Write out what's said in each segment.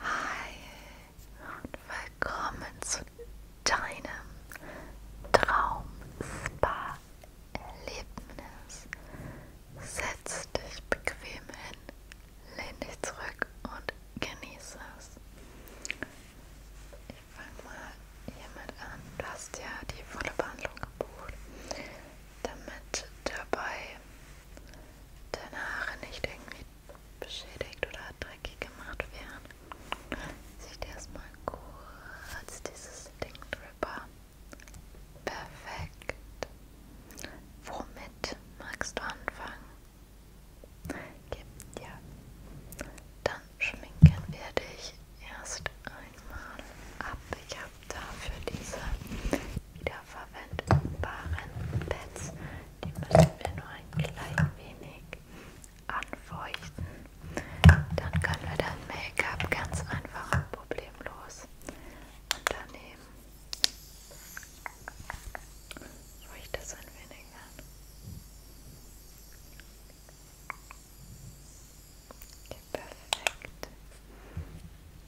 Hi und willkommen zu deinem Traum-Spa-Erlebnis. Setz dich bequem hin, lehn dich zurück und genieße es. Ich fange mal hiermit an. Du hast ja die volle Behandlung gebucht, damit dabei deine Haare nicht irgendwie beschädigt oder dreckig gemacht werden, sieht erstmal kurz dieses Ding drüber. Perfekt. Womit magst du anfangen? Gibt ja. Dann schminken wir dich erst einmal ab. Ich habe dafür diese wiederverwendbaren Pads. Die müssen wir nur ein klein wenig anfeuchten. Dann können wir das Make-up ganz einfach und problemlos unternehmen. Ruhig das ein wenig an. Okay, perfekt.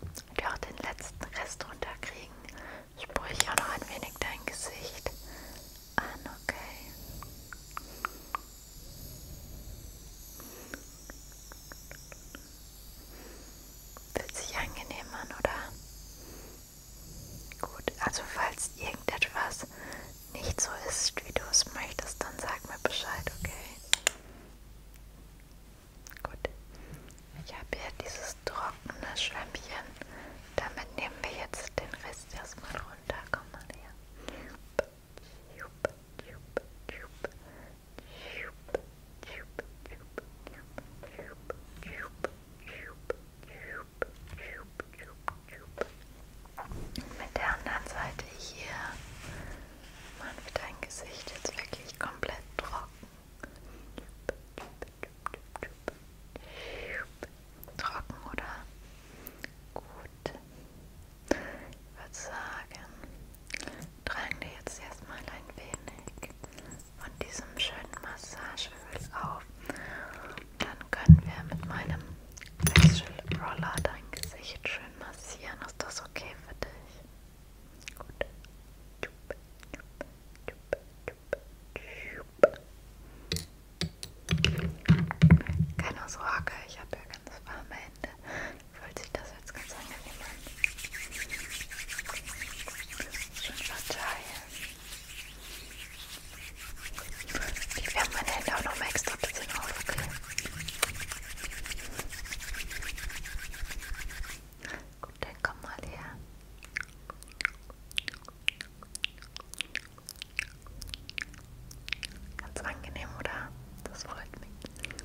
Und auch den letzten Rest runterkriegen. Sprühe ich auch noch ein wenig dein Gesicht an, okay. Fühlt sich angenehm an, oder? Gut, also falls irgendetwas nicht so ist, wie du es möchtest, dann sag mir Bescheid, okay? Gut. Ich habe hier dieses trockene Schwämmchen. Damit nehmen wir jetzt den Rest erstmal runter. Komm mal her. Mit der anderen Seite hier man wird dein Gesicht jetzt wirklich komplett trocken. Trocken, oder? Gut. Ich würde sagen, tragen wir jetzt erstmal ein wenig von diesem schönen Massageöl auf. Dann können wir mit meinem Facial Roller dein Gesicht schön massieren. Ist das okay für dich? Keine Sorge, ich habe ja ganz warme Hände. Fühlt sich das jetzt ganz angenehm an. Schön verteilen. Ich werde meine Hände auch noch mal extra ein bisschen auf, okay? Gut, dann komm mal her. Ganz angenehm, oder? Das freut mich. Gut,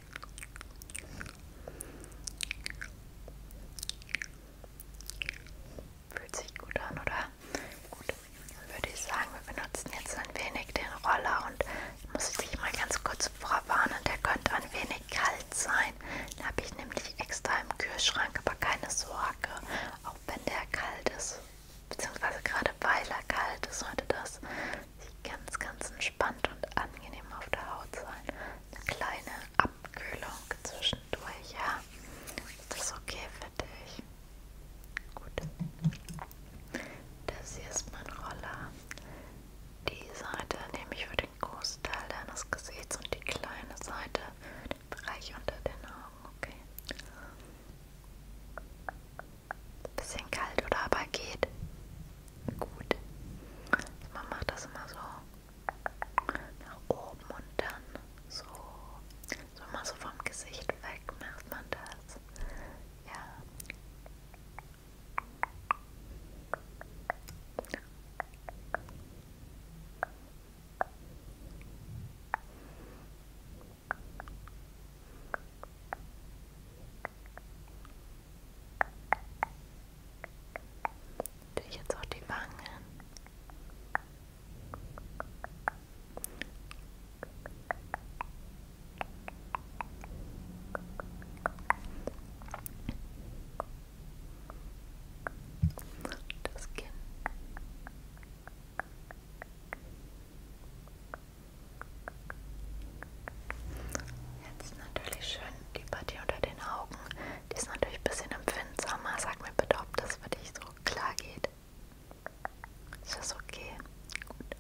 Fühlt sich gut an, oder? Gut, dann würde ich sagen, wir benutzen jetzt ein wenig den Roller und muss ich dich mal ganz kurz vorwarnen, der könnte ein wenig kalt sein. Den habe ich nämlich extra im Kühlschrank, aber keine Sorge, auch wenn der kalt ist, beziehungsweise gerade weil er kalt ist, sollte das sich ganz, ganz entspannt und angenehm auf der Haut sein eine kleine Abkühlung zwischendurch, ja? Ist das okay für dich? Gut. Das hier ist mein Roller. Die Seite nehme ich für den Großteil deines Gesichts und die kleine Seite für den Bereich unter den Augen, okay? Bisschen kalt oder aber geht gut. Man macht das immer so nach oben und dann so, so immer so vom Gesicht weg macht man das. Ja. Okay. Natürlich jetzt auch die Wangen. Das Kinn. Und Jetzt natürlich schön die Partie unter den Augen. Die ist natürlich ein bisschen empfindsamer. Sag mir bitte, ob das für dich so klar geht. Ist das okay? Gut. Gut.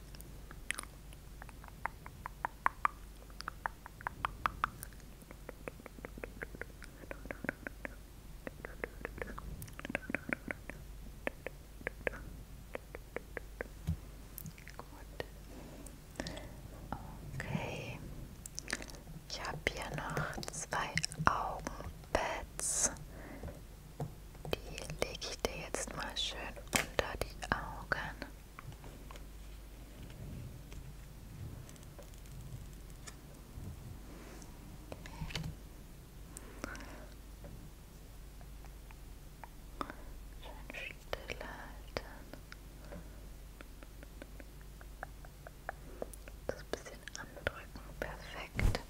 Okay. Ich habe hier noch zwei Augenpads. Die lege ich dir jetzt mal schön unter die Augen. Schön still halten. Das bisschen andrücken, perfekt.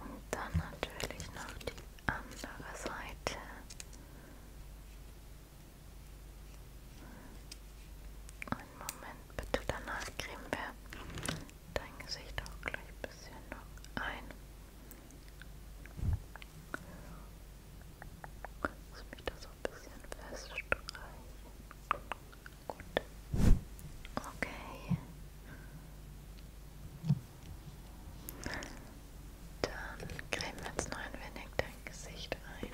Und dann natürlich noch die andere Seite. Einen Moment bitte, danach cremen wir dein Gesicht auch gleich ein bisschen noch ein. Lass mich da so ein bisschen feststreichen. Gut. Okay. Dann cremen wir jetzt noch ein wenig dein Gesicht ein.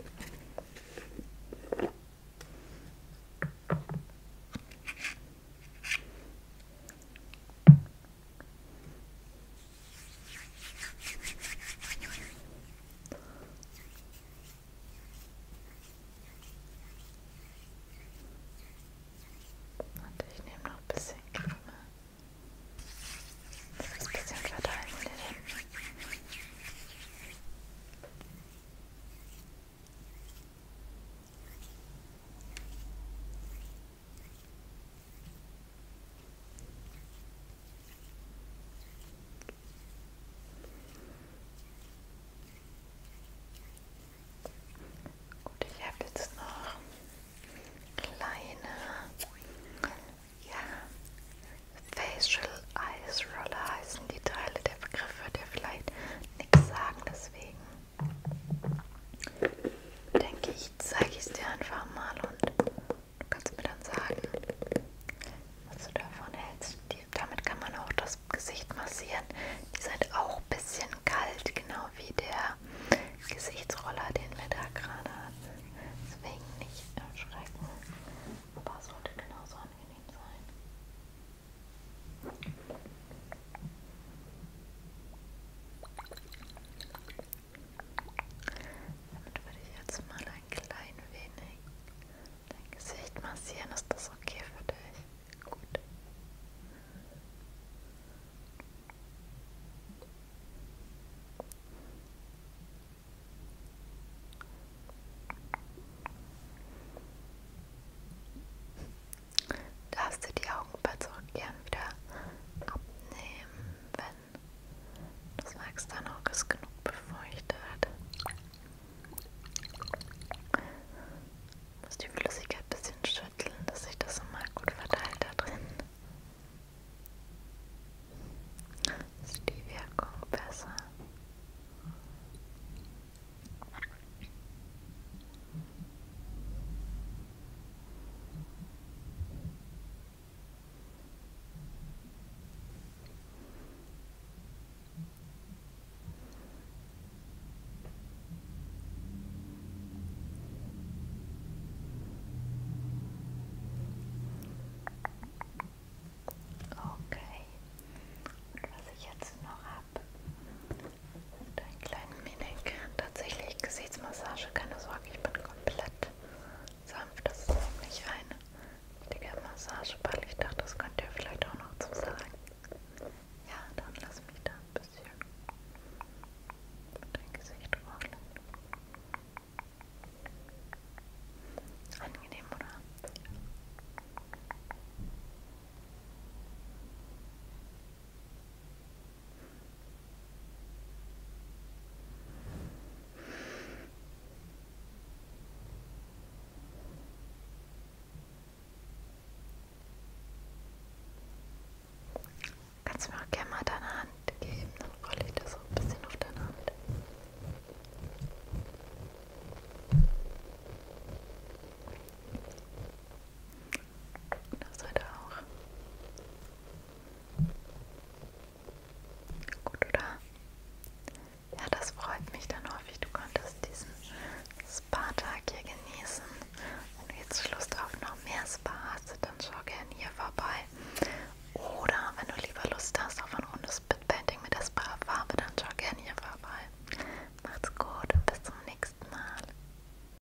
Und ich nehme noch ein bisschen Creme. Das ein bisschen verteilen wir den. Gut, ich habe jetzt noch kleine ja, Facial Eyes Roller heißen die Teile. Der Begriff wird dir vielleicht nichts sagen, deswegen denke ich, zeige ich es dir einfach mal und du kannst mir dann sagen, was du davon hältst. Die, damit kann man auch das Gesicht massieren. Die sind auch ein bisschen kalt, genau wie der Gesichtsroller, den wir da gerade hatten. Deswegen nicht erschrecken. Aber es sollte genauso angenehm sein. Damit würde ich jetzt mal ein klein wenig dein Gesicht massieren. Ist das okay für dich? Gut. Darfst du die Augenpartie auch gern wieder abnehmen? nehmen, wenn das Wachs dann auch ist genug befeuchtet. Ich muss die Flüssigkeit ein bisschen schütteln, dass sich das immer gut verteilt da drin. Ist die Wirkung besser? Okay. Und was ich jetzt noch habe, und einen kleinen Mimik. Tatsächlich Gesichtsmassage, keine Sorge, ich bin komplett sanft. Das ist auch nicht ein richtiger Massageball. Ich dachte, das könnt ihr vielleicht auch noch zu sagen. Ja, dann lass mich da ein bisschen dein Gesicht rollen. Angenehm, oder? Ja. Kannst du mir auch gerne mal deine Hand geben, dann rolle ich das so ein bisschen auf deine Hand. Das heute auch. Gut, oder? Ja, das freut mich dann häufig. Du konntest diesen Spa-Tag hier genießen. Wenn du jetzt Lust auf noch mehr Spa hast, dann schau gerne hier vorbei. Oder wenn du lieber Lust hast auf ein rundes Bitpainting mit der Spa-Farbe, dann schau gerne hier vorbei. Macht's gut und bis zum nächsten Mal.